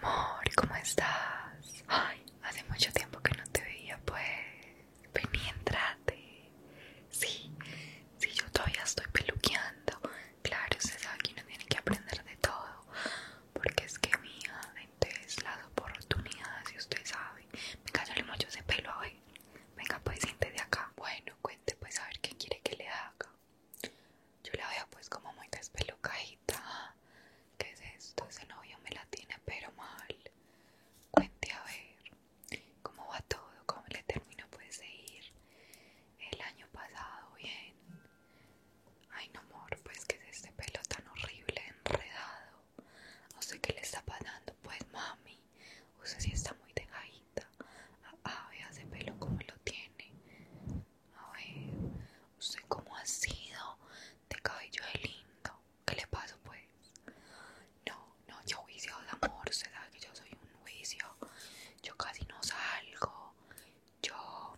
Amor, ¿cómo estás? Ay, hace mucho tiempo que no te veía, pues. Ven entrate. Sí, sí, yo todavía estoy peluqueando. Claro, usted sabe que uno tiene que aprender de todo. Porque es que, mi mía, entonces la oportunidad si usted sabe. Venga, yo el mucho ese pelo hoy. Venga, pues siente de acá. Bueno, cuente, pues, a ver qué quiere que le haga. Yo la veo pues como muy despelucadita. ¿Qué es esto? Ese novio me la tiene pero mal. Cuente a ver cómo va todo, cómo le terminó pues de ir el año pasado bien. Ay no amor, pues que es este pelo tan horrible, enredado. No sé qué le está pasando, pues mami. Usted sí está muy dejadita. Ah, ah, vea ese pelo como lo tiene. A ver, ¿usted cómo ha sido de cabello de lindo? ¿Qué le pasó pues? No, no, yo juicio de amor, usted que yo soy un juicio. Yo casi no salgo. Yo,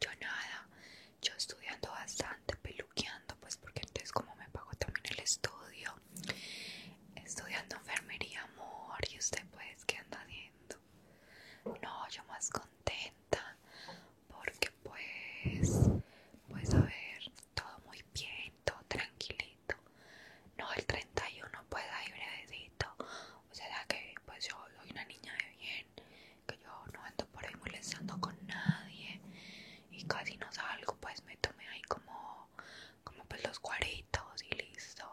yo nada. Yo estudiando bastante, peluqueando, pues porque entonces como me pago también el estudio. Estudiando enfermería, amor. ¿Y usted pues qué anda haciendo? No, yo más contenta porque pues, pues a ver, todo muy bien, todo tranquilito. No, el 31 pues ahí brevedito. O sea que pues yo soy una niña de bien, que yo no ando por ahí molestando con nadie y casi no salgo, pues me tomé ahí como, como pues los cuaritos y listo.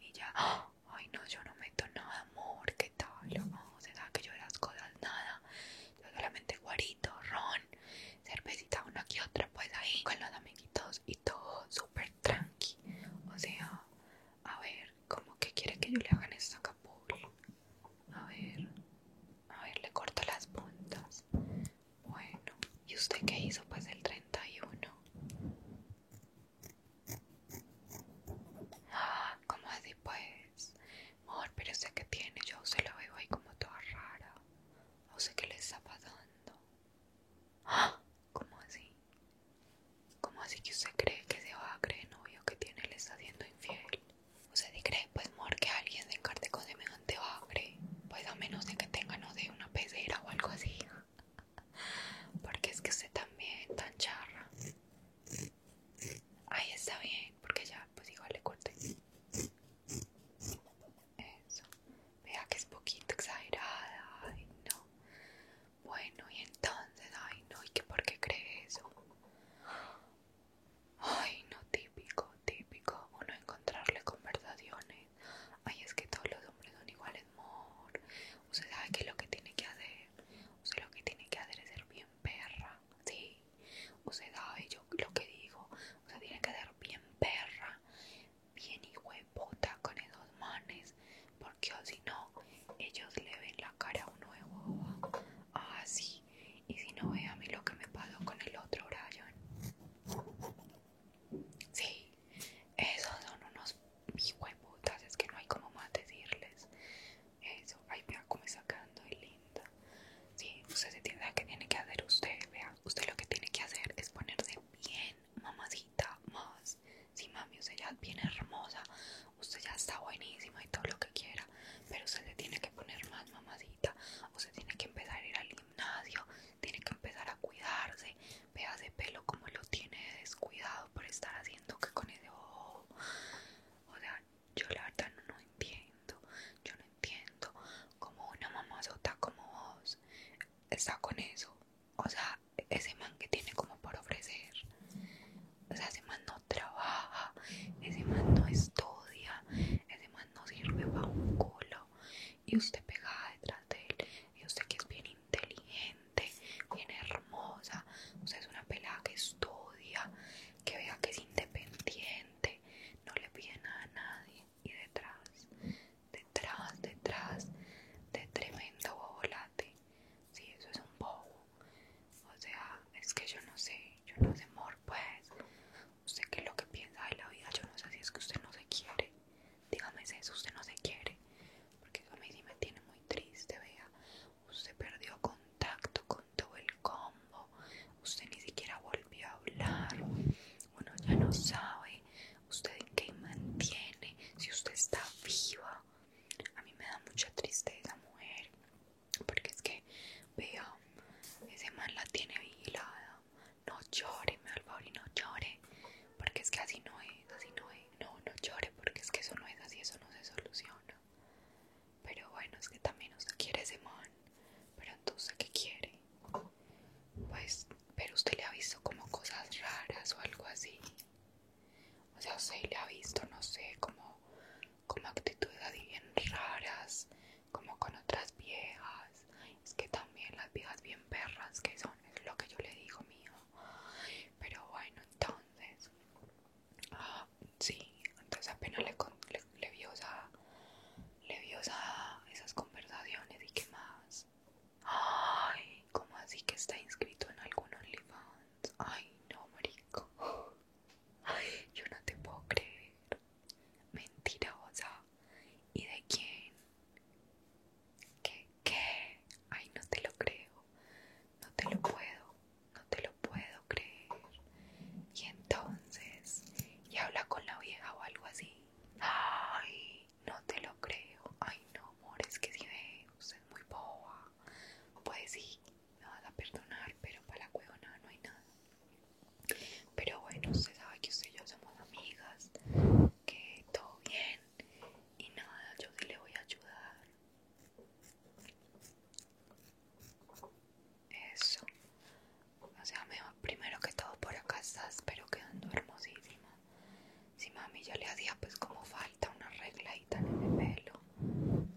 Y ya, ¡ah! ay no, yo no meto nada, amor, ¿qué tal? No, se que yo las cosas nada, yo solamente guarito, ron, cervecita una que otra, pues ahí con los amiguitos y todo súper tranqui. O sea, a ver, ¿cómo que quiere que yo le haga en esta capula? A ver, a ver, le corto las puntas. Bueno, ¿y usted qué hizo? Pues el 31. Ah, ¿Cómo así pues, amor, pero sé que tiene, yo se lo veo ahí como toda rara. No sé que le está pasando. Ah, ¿Cómo así? ¿Cómo así que usted cree que se va novio que tiene le está siendo infiel? ¿Usted cree, pues, amor, que alguien se encarte con semejante bagre? Pues a menos de que tenga, no de una pecera o algo así. Porque es que usted también, tan charra. Ahí está bien, porque ya, pues igual le corté. Eso. Vea que es poquito exagerada. Ay, no. Bueno, y entonces, ay, no, ¿y que por qué cree eso? Ay, no, típico, típico. Uno encontrarle conversaciones ay, es que todos los hombres son iguales, amor. Usted sabe que lo que tiene que hacer, usted lo que tiene que hacer es ser bien perra, sí. Usted sabe yo lo que digo, usted tiene que ser bien perra, bien puta con esos manes, porque si no, ellos le ven la cara a uno de ah, Y si no, ve a mí lo que me pasó con el otro Ryan. Sí, esos son unos es que no hay como más decirles. Eso, ahí vea cómo está quedando linda. Sí, usted se tiene que tiene que hacer usted, vea. Usted lo que tiene que hacer es ponerse bien, mamacita, más. Sí, mami, usted ya es bien hermosa, usted ya está buenísima y todo lo que quiera, pero usted le tiene que poner más mamacita, usted tiene que empezar a ir al tiene que empezar a cuidarse. Veas ese pelo como lo tiene descuidado por estar haciendo que con ese ojo. O sea, yo la verdad no, entiendo. Yo no entiendo cómo una mamazota como vos está con eso. O sea, ese man que tiene como por ofrecer. O sea, ese man no trabaja, ese man no estudia, ese man no sirve para un culo, y usted pegada detrás de él y usted que es bien inteligente, bien hermosa, usted es una pelada que estudia, que vea que es independiente, no le pide nada a nadie y detrás, detrás, detrás de tremendo bobolate, sí, eso es un bobo, o sea, es que yo no sé, yo no sé amor pues, usted qué es lo que piensa de la vida, yo no sé si es que usted no se quiere, dígame eso, usted no se quiere, porque a mí sí me tiene muy triste, vea, usted perdió contacto con todo el combo, usted ni siquiera volvió a hablar, uno ya no sabe usted en qué mantiene, si usted está viva, a mí me da mucha tristeza, mujer, porque es que, vea, ese man la tiene vigilada no llore, mi favor, y no llore, porque es que así no es, así no es, no, no llore, porque es que eso no es así, eso no se soluciona. Pero bueno, es que también usted quiere ese man, pero entonces, ¿qué quiere? Pues, pero usted le ha visto como cosas raras o algo así. O sea, usted le ha visto, no sé, como, como actitudes así bien raras, como con otras viejas. Es que también las viejas bien perras que son, es lo que yo le digo, mío. Pero bueno, entonces, ah, sí, entonces apenas le, le, le vio le vio esas conversaciones y qué más. Ay, como así que está inscrito en algunos Libans Ay, no, marico. Ay, yo no te puedo creer. Mentirosa. ¿Y de quién? ¿Qué? ¿Qué? Ay, no te lo creo. No te lo puedo. No te lo puedo creer. Y entonces, y habla con la vieja o algo así. Ay, no te lo creo. Ay, no, amor, que si ve, usted es muy boba. Pues sí, me vas a perdonar, pero para la cuevona no hay nada. Pero bueno, usted sabe que usted y yo somos amigas, que todo bien y nada, yo sí le voy a ayudar. Eso. O sea, primero que todo por acá estás, pero quedando hermosísima. Si mami ya le hacía pues como falta una regladita en el pelo,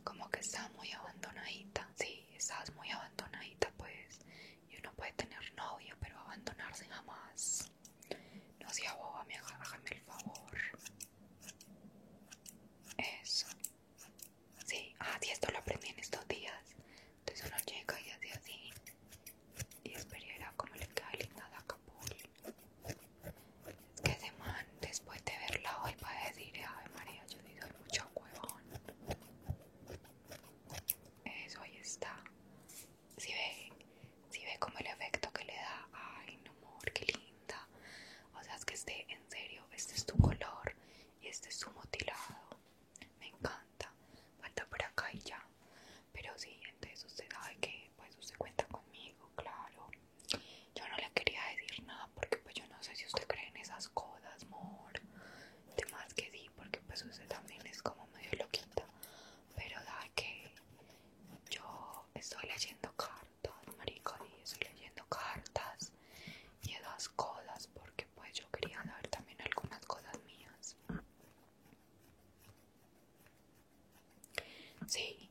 como que está muy abandonadita. Sí, estás estabas muy abandonadita pues y uno puede tener novio pero abandonarse jamás no sea boba me hágame el favor eso sí ah sí esto lo aprendí en estos días entonces uno llega y hace así y espera como le queda linda la capul es que ese después de verla hoy va a decir ave maría yo digo mucho huevón. Eso ahí está. Si ve, si ve como el efecto que le da. Ay, no amor, qué linda. O sea, es que este, en serio, este es tu color y este es tu motilado. Me encanta. Falta por acá y ya. Pero si entonces usted sabe que pues usted cuenta conmigo, claro. Yo no le quería decir nada porque pues yo no sé si usted cree en esas cosas, amor. De más que sí, porque pues usted también es como medio loquita. Pero da que yo estoy leyendo cartas, marico, y estoy leyendo cartas y las cosas porque pues yo quería saber también algunas cosas mías. Sí,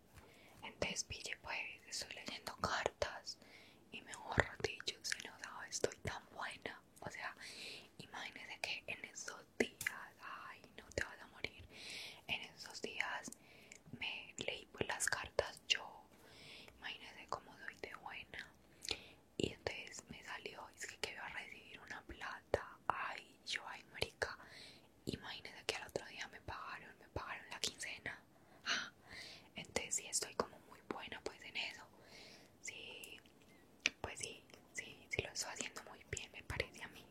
entonces pille pues, estoy leyendo cartas y mejor dicho, se nos estoy tan buena. O sea, imagínese que en esos días, ay, no te vas a morir. En esos días me leí pues las cartas yo. Imagínese cómo doy de buena. Y entonces me salió, es que, que a recibir una plata. Ay, yo, ay, marica. Imagínese que al otro día me pagaron, me pagaron la quincena. Ah, entonces sí estoy como muy buena pues en eso. Sí, pues sí, sí, sí lo estoy haciendo muy bien me parece a mí.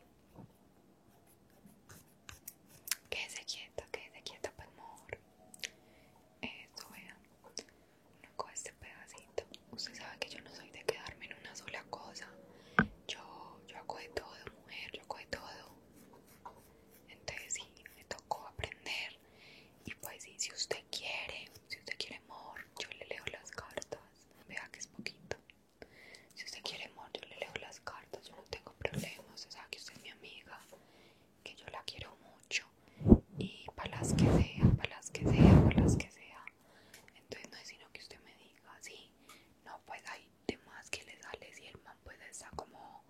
Quédese quieta, quédese quieta, pues amor. Eso, vea. Uno coge este pedacito. Usted sabe que yo no soy de quedarme en una sola cosa. Yo, yo hago de todo, mujer, yo hago de todo. Entonces sí, me tocó aprender y pues sí, si usted quiere, si usted quiere amor, yo le leo las cartas. Vea que es poquito. Si usted quiere amor, yo le leo las cartas, yo no tengo problemas, o sea, que usted es mi amiga, que yo la quiero mucho y para las que sea, para las que sea, para las que sea. Entonces no es sino que usted me diga, sí, no, pues ahí de que le sale si el man pues está como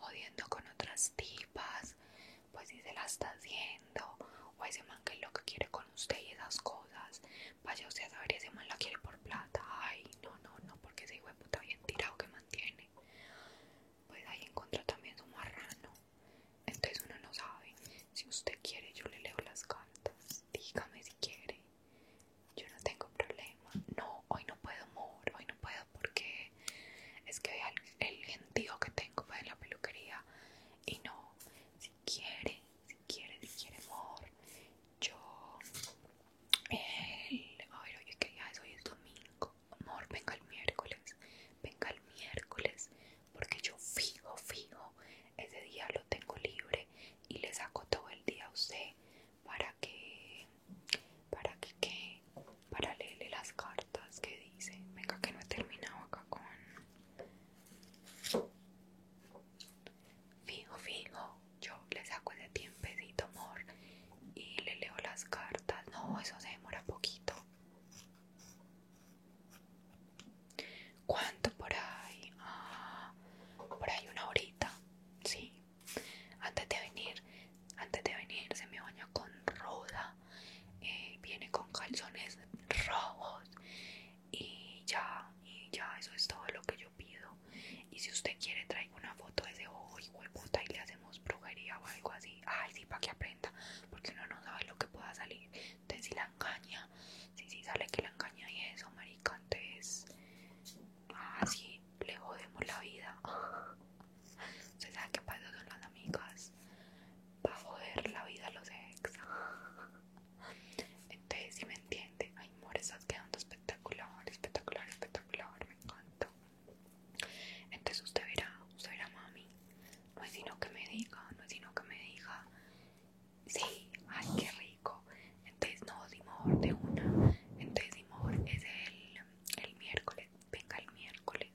odiando con otras tipas pues si se la está haciendo o ese man que es lo que quiere con usted y esas cosas vaya usted a saber ese man la quiere por plata ay no no no porque ese hijo de puta bien tirado que mantiene pues ahí encontró también su marrano entonces uno no sabe si usted quiere yo le leo las cartas dígame si quiere yo no tengo problema. No, hoy no puedo, amor. Hoy no puedo porque es que hoy el gentío que tengo para la peluquería. Y no, si quiere, si quiere, si quiere, amor. Yo. El, a ver, oye, que es? Hoy es domingo. Amor, venga el miércoles. Venga el miércoles. Porque yo fijo, fijo. Ese día lo tengo libre y le saco todo el día a usted para que, para que, que para leerle las cartas que dice. Venga, que no he terminado acá con. Fijo, fijo, yo le saco ese tiempecito, amor, y le leo las cartas. No, eso se demora poquito. ¿Cuánto por ahí? Ah, por ahí una horita, sí. Antes de venir, antes de venir se me baña con roda, eh, viene con calzones rojos. Y ya, y ya, eso es todo lo que yo pido. Y si usted quiere, traigo una foto de ese ojo y puta y le hacemos brujería o algo así. Ay, sí, para que aprenda. Porque uno no sabe lo que pueda salir. Entonces, si la engaña Sí, sí, sale que la engaña y eso, marica. Entonces, así ah, le jodemos la vida. Usted sabe qué pasa con las amigas. Va a joder la vida a los ex. Entonces, si me entiende, ay, amor, estás quedando espectacular, espectacular, espectacular. Me encanta. Entonces, usted verá, usted verá, mami. No es sino que me diga, no es sino que me diga Sí, ay, qué rico. Entonces, no, Dimor de una. Entonces, Dimor es el, el miércoles. Venga, el miércoles.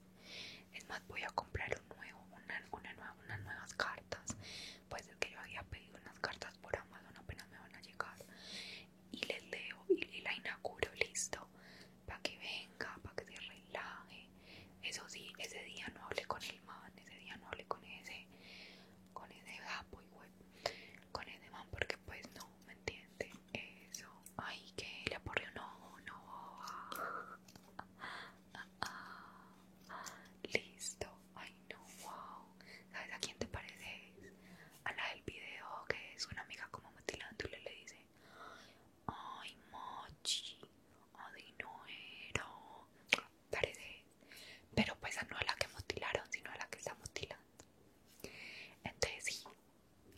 Es más, voy a comprar un nuevo, una, una nueva, unas nuevas cartas. Pues es que yo había pedido unas cartas por Amazon, apenas me van a llegar. Y les leo y, la inauguro, listo. Para que venga, para que se relaje. Eso sí, ese día no hable con el man, ese día no hable con ese con ese gapo y güey, con ese man, porque pues no, ¿me entiende? Eso, ay, que le aporre no no, listo, ay, no, wow, ¿sabes a quién te pareces? A la del video que es una amiga como mutilándole le dice, ay, mochi, ay, no parece, pero pues no a la que mutilaron, sino a la que está mutilando. Entonces sí,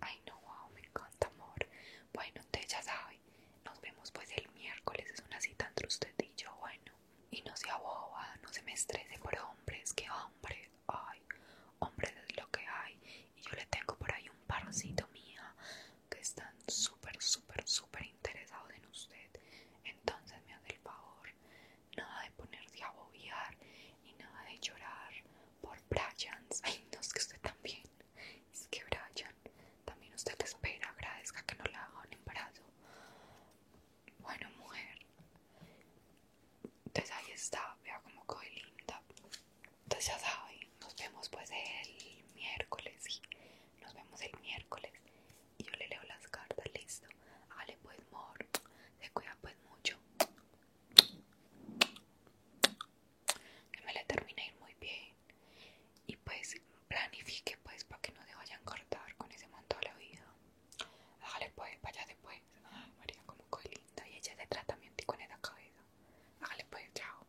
ay no, wow, me encanta amor. Bueno, te ya sabes nos vemos pues el miércoles, es una cita entre usted y yo, bueno. Y no se boba, no se me estrese por hombres, que hombres, ay, hombres es lo que hay. Y yo le tengo por ahí un parcito mía, que están súper, súper, súper interesados en usted. Entonces me hace el favor, nada de ponerse a bobear y nada de llorar por Brian. Ay, no, es que usted también. Es que Brian, también usted espera, agradezca que no le haga un embarazo. Bueno, mujer. Entonces ahí está, vea como coge linda. Entonces ya saben, nos vemos pues el miércoles nos vemos el miércoles y yo le leo las cartas, listo. Hágale pues, mor se cuida pues mucho. Que me le termine ir muy bien. Y pues planifique pues para que no se vayan a cortar con ese montón de la vida. Hágale pues, vaya después. María, como coy linda. Y ella de tratamiento y con esa cabeza. Hágale pues, chao.